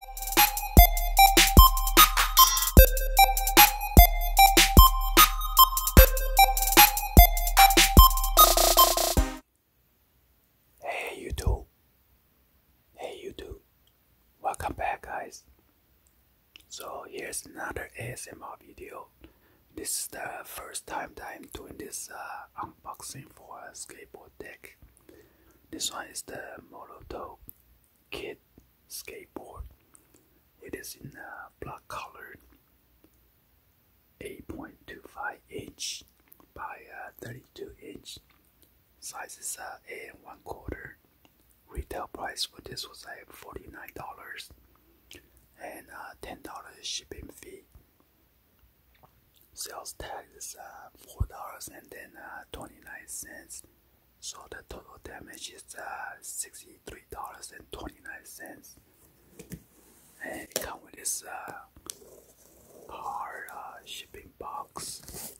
Hey YouTube. Hey YouTube. Welcome back guys. So here's another ASMR video. This is the first time that I'm doing this uh, unboxing for a skateboard deck. This one is the Molotov Kid Skateboard. It is in a uh, black color, 8.25 inch by uh, 32 inch. Size is a uh, and 1 quarter. Retail price for this was like $49 and uh, $10 shipping fee sales tax is uh, four dollars and then uh, twenty nine cents. So the total damage is uh, sixty three dollars and twenty nine cents. And it comes with this uh, car uh, shipping box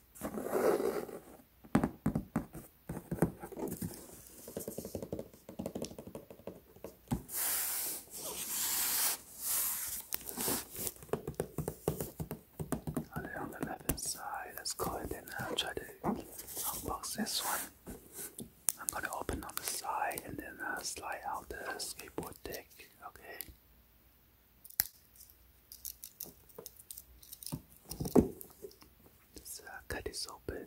on the left side. Let's call it and I'll uh, try to unbox this one. I'm gonna open on the side and then uh, slide out the skateboard deck. Okay. let uh, cut this open.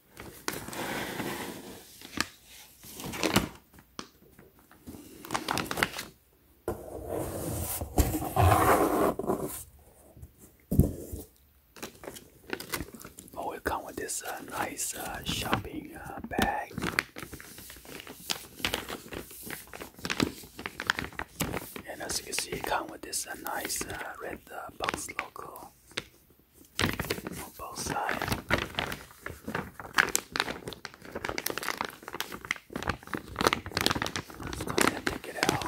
Oh, it comes with this uh, nice uh, shopping uh, bag. And as you can see, it comes with this nice red box logo on both sides. Let's go ahead and take it out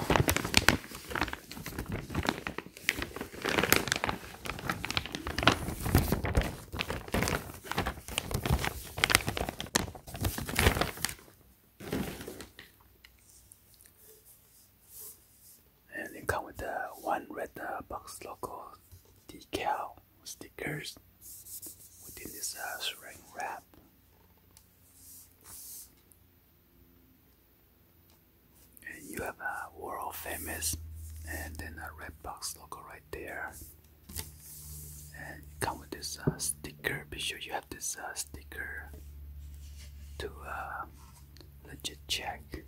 and they come with uh, one red uh, box logo decal stickers within this uh, saran wrap. And you have a world famous and then a red box logo right there. And you come with this uh, sticker. Be sure you have this uh, sticker to uh, Let's check.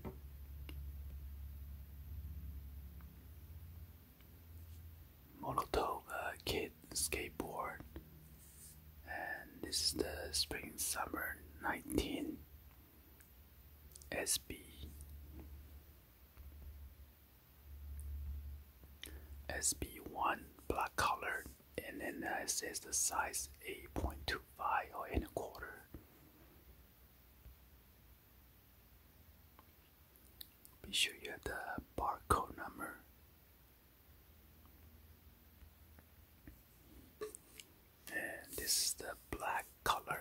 Molotov Kid Skateboard. And this is the Spring Summer 19 SB. SB1 black color and then uh, it says the size 8.25 or in a quarter be sure you have the barcode number. And this is the black color.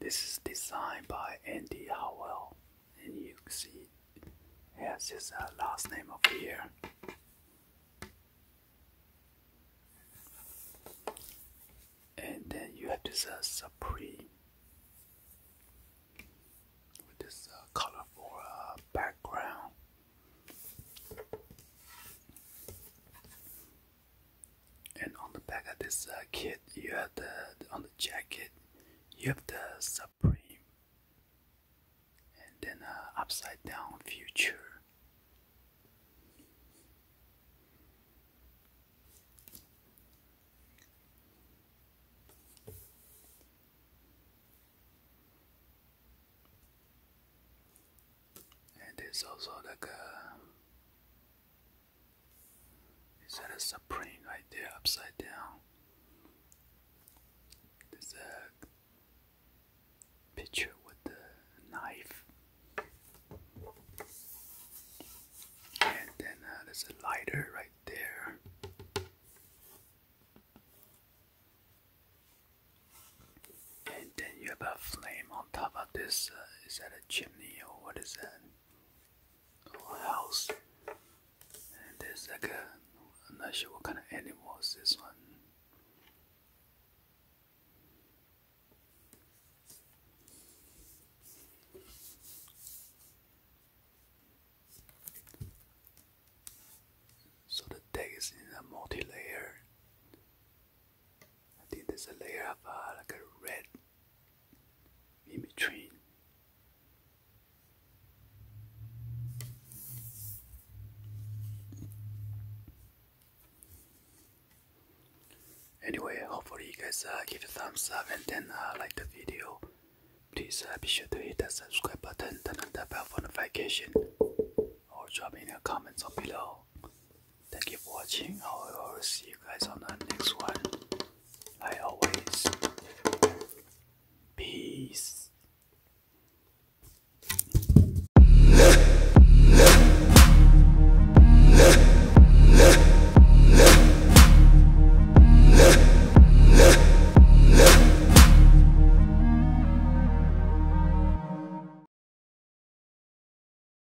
This is designed by Andy Howell, and you can see it is a last name over here. And then you have this uh, Supreme with this uh, colorful uh, background. And on the back of this uh, kit, you have the on the jacket, you have the Supreme, and then uh, upside down future. And there's also like is that a supreme there upside down? There's a picture with the knife, and then uh, there's a lighter right there. And then you have a flame on top of this. Uh, is that a chimney or what is that? or house. And there's like a, I'm not sure what kind of animal is this one. So the text is in a multi-layer I think there's a layer of uh, like a red in between. Anyway, hopefully you guys uh, give a thumbs up and then uh, like the video. Please uh, be sure to hit that subscribe button, turn on the bell for notification, or drop in a comment down below. Thank you for watching. I will see you guys on the next one. Like always, peace.